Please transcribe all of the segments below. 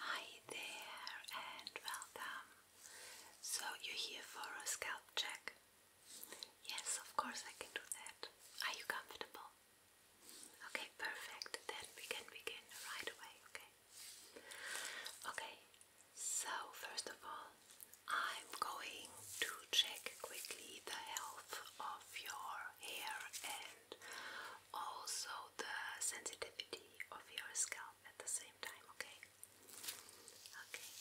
Hi there and welcome. So, you're here for a scalp check? Yes, of course, I can do that. Are you comfortable? Okay, perfect. Then we can begin right away, okay? Okay, so first of all, I'm going to check quickly the health of your hair and also the sensitivity of your scalp at the same time, okay? Okay, Okay,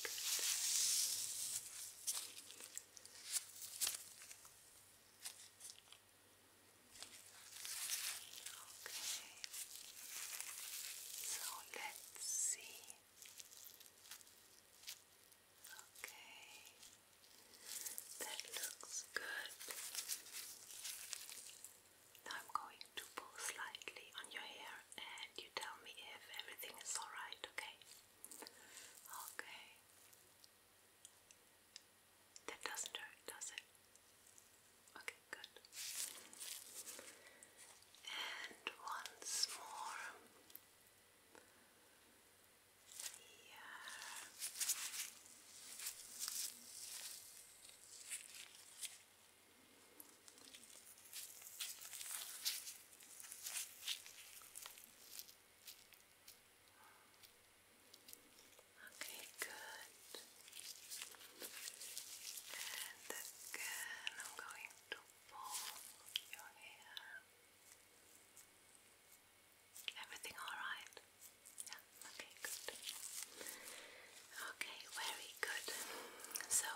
so let's see. Okay, that looks good. Now I'm going to pull slightly on your hair and you tell me if everything is alright, okay? Okay. That doesn't hurt, does it? Okay, good. And once more. Okay, good. And again, I'm going to pull your hair. Everything alright? Yeah, okay, good. Okay, very good. So,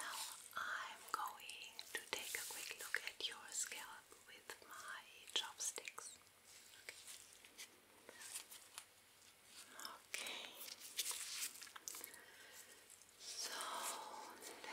now I'm going to take a quick look at your scalp with my chopsticks. Okay. So let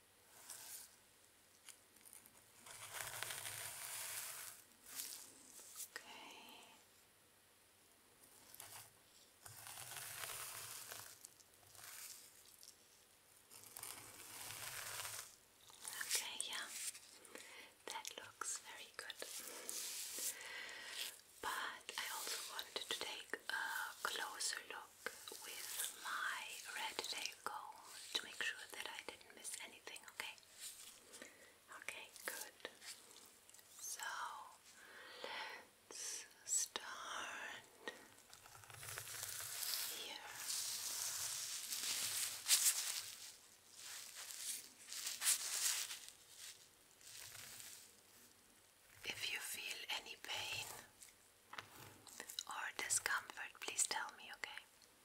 Okay. Okay, yeah. That looks very good. But I also wanted to take a closer look with my red tape to make sure that I didn't miss anything, okay? Okay, good. So, let's start here. If you feel any pain or discomfort, please tell me, okay?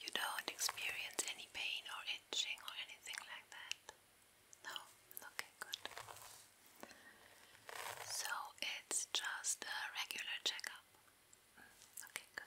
You don't experience any pain or itching or anything like that? No? Okay, good. So it's just a regular checkup. Mm, okay, good.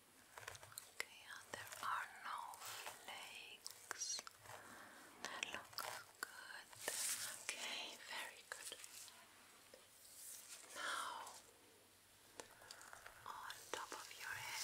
Okay, and there are no flakes. That looks good. Okay, very good. Now, on top of your head.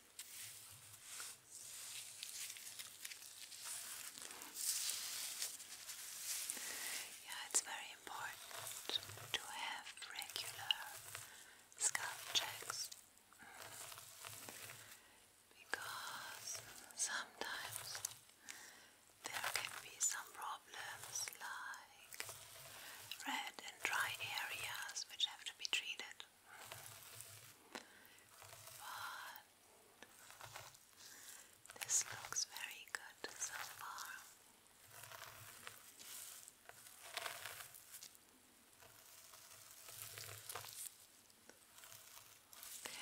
Yeah, it's very important to have regular scalp checks because sometimes there can be some problems like red and dry areas which have to be treated. But this looks very good so far. Okay.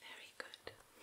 Very good. Now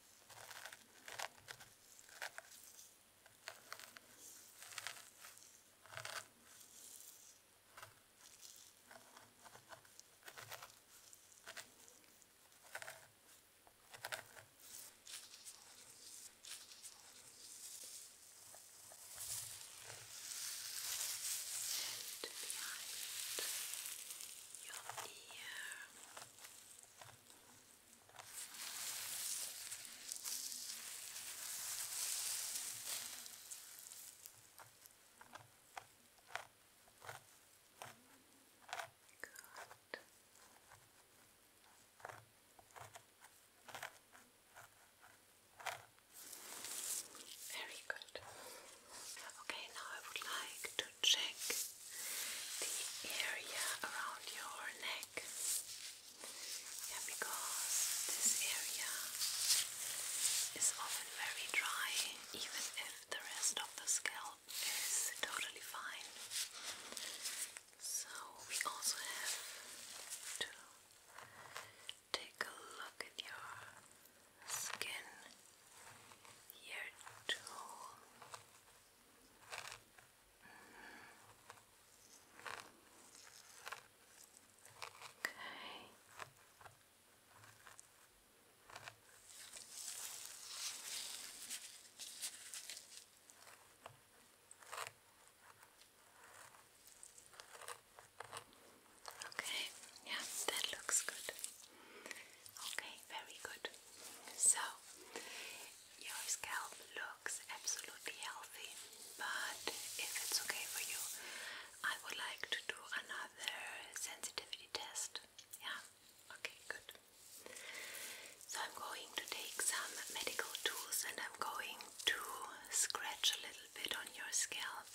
And behind your ear. Your very good. Okay, now I would like check the area around your neck. because this area is often very dry, even if the rest of the scalp is totally fine. So, we also have to take a look at your skin here, too. Okay. Okay, yeah, that looks good. Okay, very good. So, your scalp looks absolutely healthy, but if it's okay for you, I would like to do another sensitivity test. Yeah? Okay, good. So, I'm going to take some medical tools and I'm going to scratch a little bit on your scalp,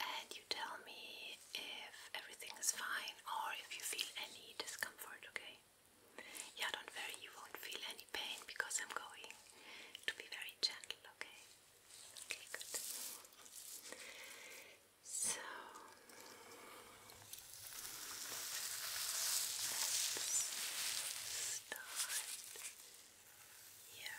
and you tell me if everything is fine or if you feel any discomfort, okay? Yeah, don't worry, you won't feel any pain because I'm going to be very gentle, okay? Okay, good. So start here.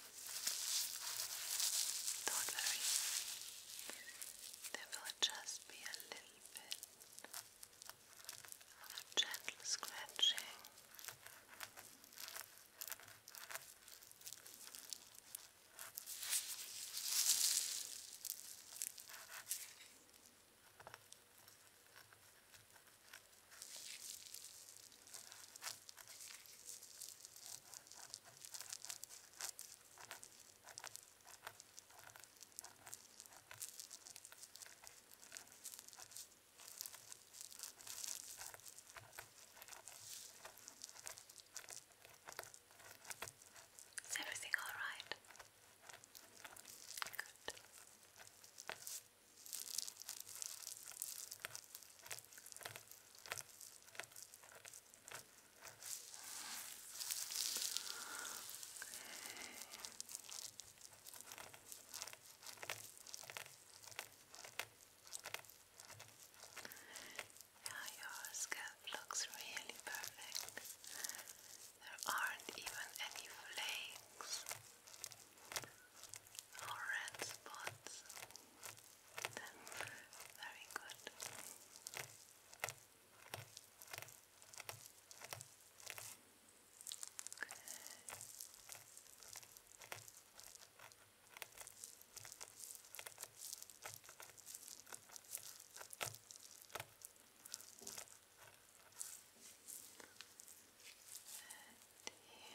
Don't worry, there will just be a little bit of gentle scratching. Is everything all right? Good. Yeah, your scalp looks really perfect. There aren't even any flakes or red spots. Very good. And here.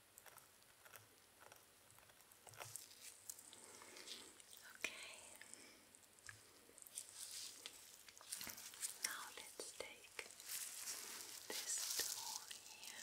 Okay. Now let's take this tool here.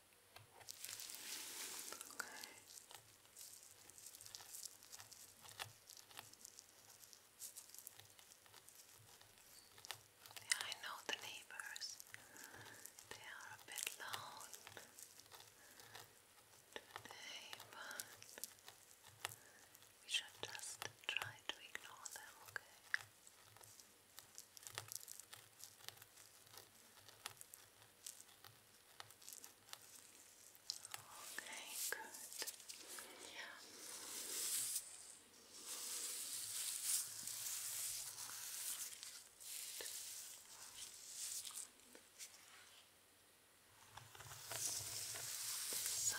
Okay. Yeah, I know the neighbors. They are a bit loud today, but we should just try to ignore them, Okay. Okay, good. Yeah. Side.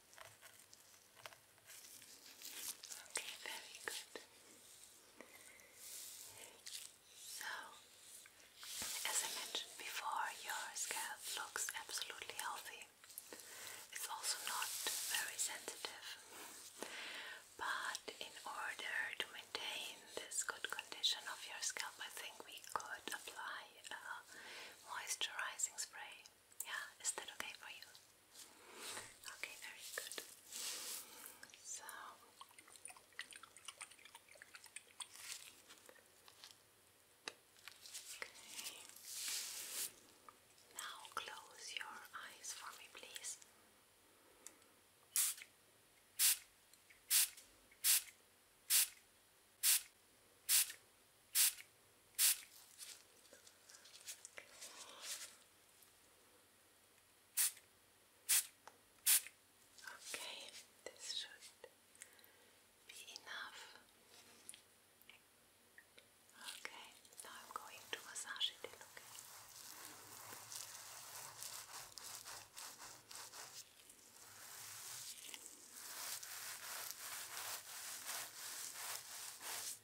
Okay, very good. So, as I mentioned before, your scalp looks absolutely healthy. It's also not very sensitive, but in order to maintain this good condition of your scalp, I think we could apply a moisturizing spray. Yeah, is that okay for you? Okay, very good. So Okay. Now close your eyes for me, please. Okay. Okay, this should be enough. Okay, now I'm going to massage it in,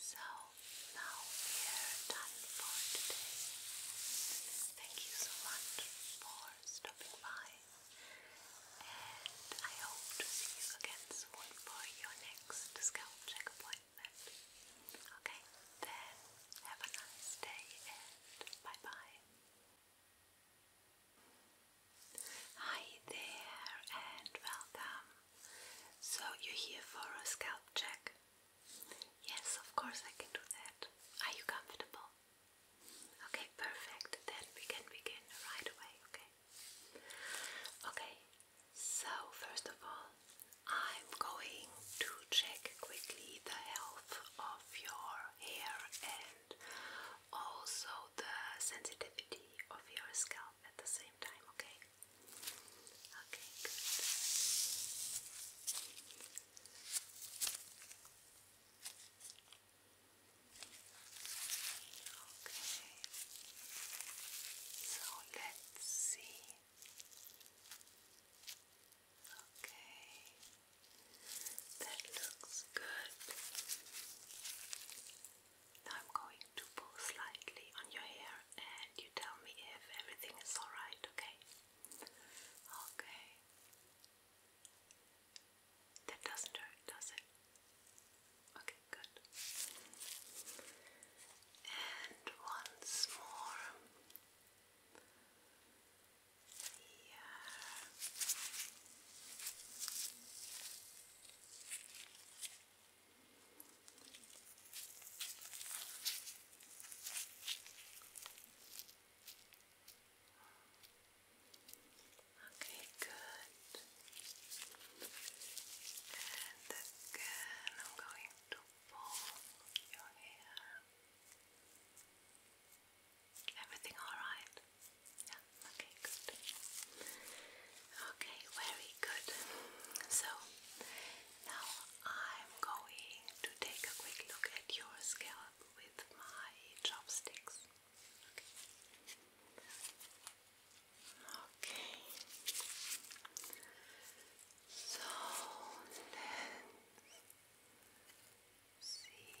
So now we are done for today. Thank you so much for stopping by, and I hope to see you again soon for your next scalp check appointment. Okay, then have a nice day and bye bye. Hi there, and welcome. So you're here for a scalp check? Yes, of course I can do that. Are you comfortable? Okay, perfect. Then we can begin right away, okay? Okay, so first of all, I'm going to check quickly the health of your hair and also the sensitivity of your scalp at the same time, okay? Okay, good. Okay. So let's see. Okay. That looks good. I'm going to pull slightly on your hair and you tell me if everything is alright, okay? Okay. That doesn't hurt, does it? Okay, good. And once more. Yeah. Okay. Okay, good. And again, I'm going to pull your hair. Everything all right? Yeah, okay, good. Okay, very good. So now I'm going to take a quick look at your scalp with my chopsticks. Okay. So let's see.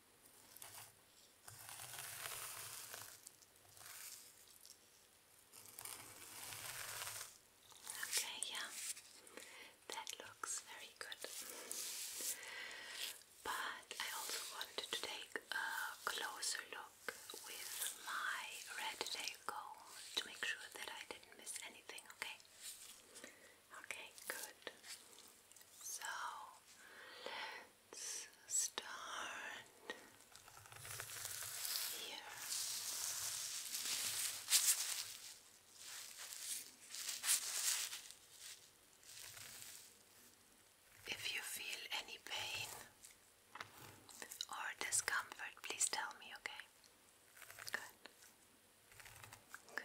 Okay, yeah, that looks very good. But I also wanted to take a closer look with my red tail comb to make sure that I didn't miss anything, okay? Okay, good. So let's start here. If you feel any pain or discomfort, please tell me, okay? Good. Okay. Good.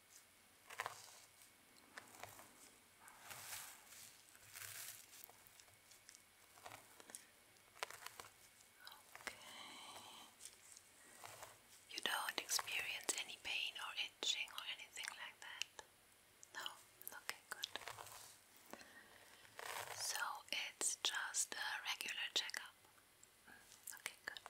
You don't experience any pain or itching or anything like that? No? Okay, good. So it's just a regular checkup. Mm, okay, good.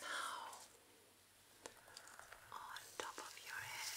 Now, on top of your head.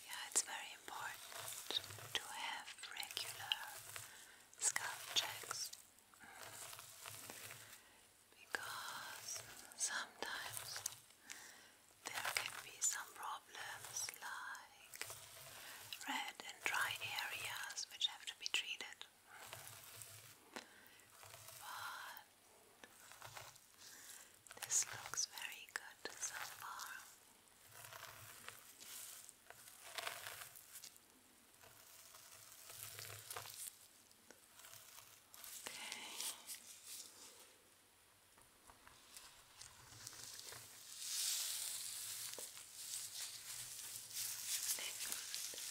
Yeah, it's very important to have regular scalp checks because sometimes there can be some problems like red and dry areas which have to be treated. But this looks very good so far. Okay. Next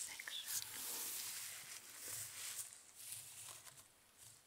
section.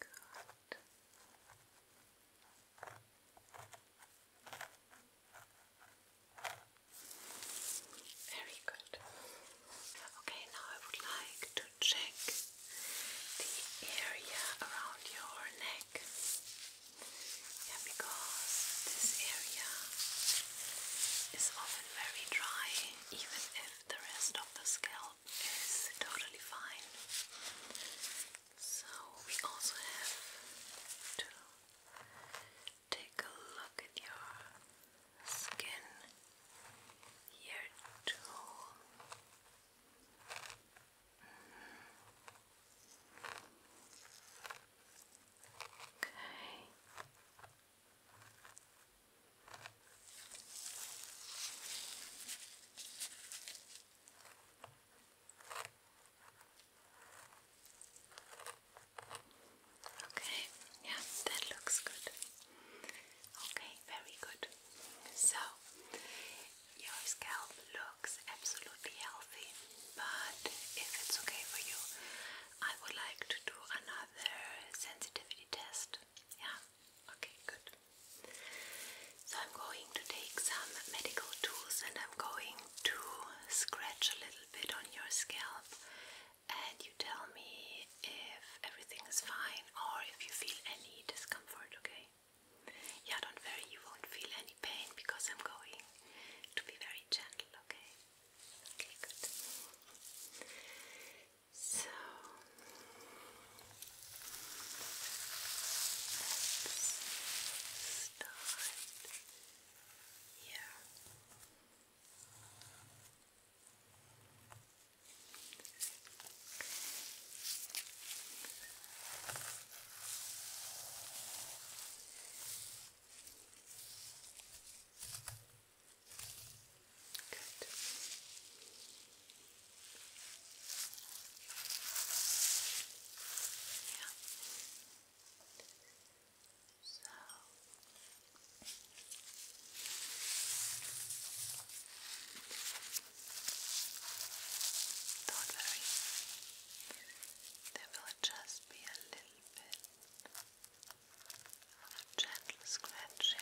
Good. Very good. Okay, now I would like to check the area around your neck. because this area is often very dry even if the rest of the scalp is totally fine. So, we also have to take a look at your skin here, too. Mm-hmm. Okay. Okay, yeah, that looks good. Okay, very good. So, your scalp looks absolutely healthy, but if it's okay for you, I would like to do another have sensitivity test. Yeah? Okay, good. So I'm going to take some medical tools and I'm going to scratch a little bit on your scalp and you tell me if everything is fine or if you feel any discomfort, okay? Yeah, don't worry, you won't feel any pain because I'm going to be very gentle, okay? Okay, good. So let's start here. Good. Yeah. not worry, they will just be a little bit a gentle scratching.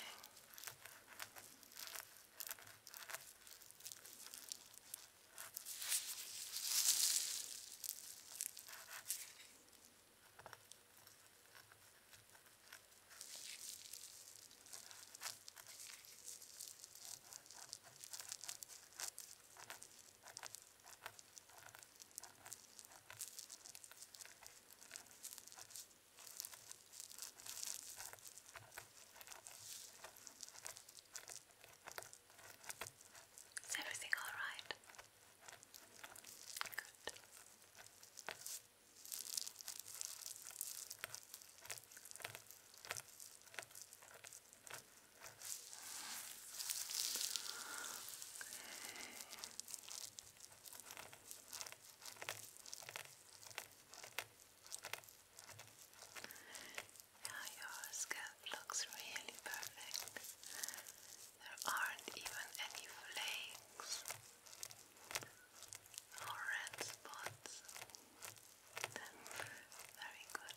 Is everything all right? Good. Now your scalp looks really perfect. There aren't even any flakes or red spots. Very good.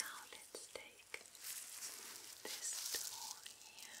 Now let's take this tool here.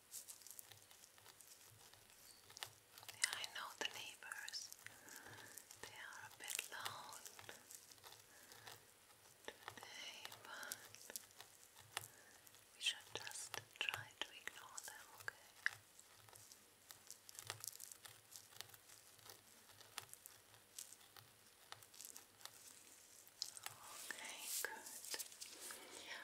Yeah, I know the neighbors. They are a bit loud today, but we should just try to ignore them, okay? Okay, good. Yeah.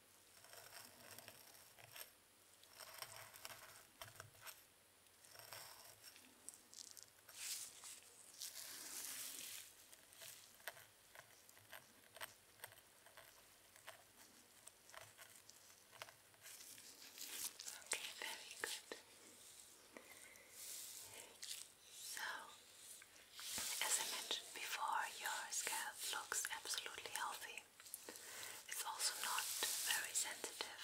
Okay, very good. So as I mentioned before, your scalp looks absolutely healthy. It's also not very sensitive.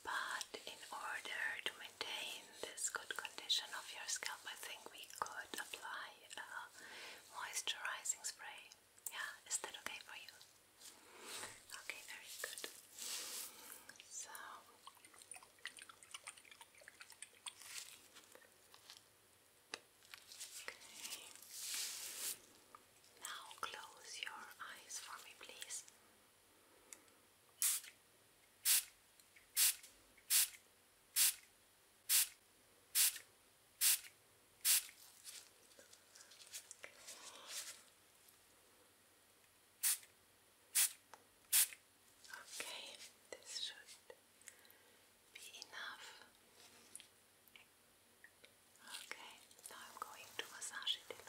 But in order to maintain this good condition of your scalp, I think we could apply a moisturizing spray. Yeah, is that okay for you? Okay, very good. So now close your eyes for me, please. Okay, this should be enough. Okay, now I'm going to massage it, okay?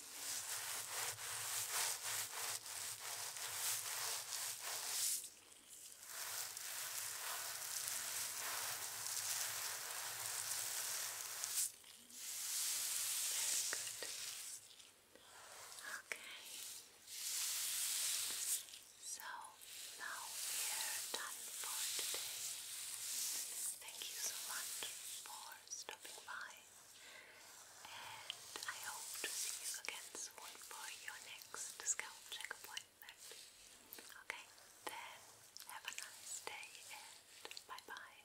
Okay. So now we are done for today. Thank you so much for stopping by and I hope to see you again soon for your next scalp check Okay, then have a nice day and bye bye.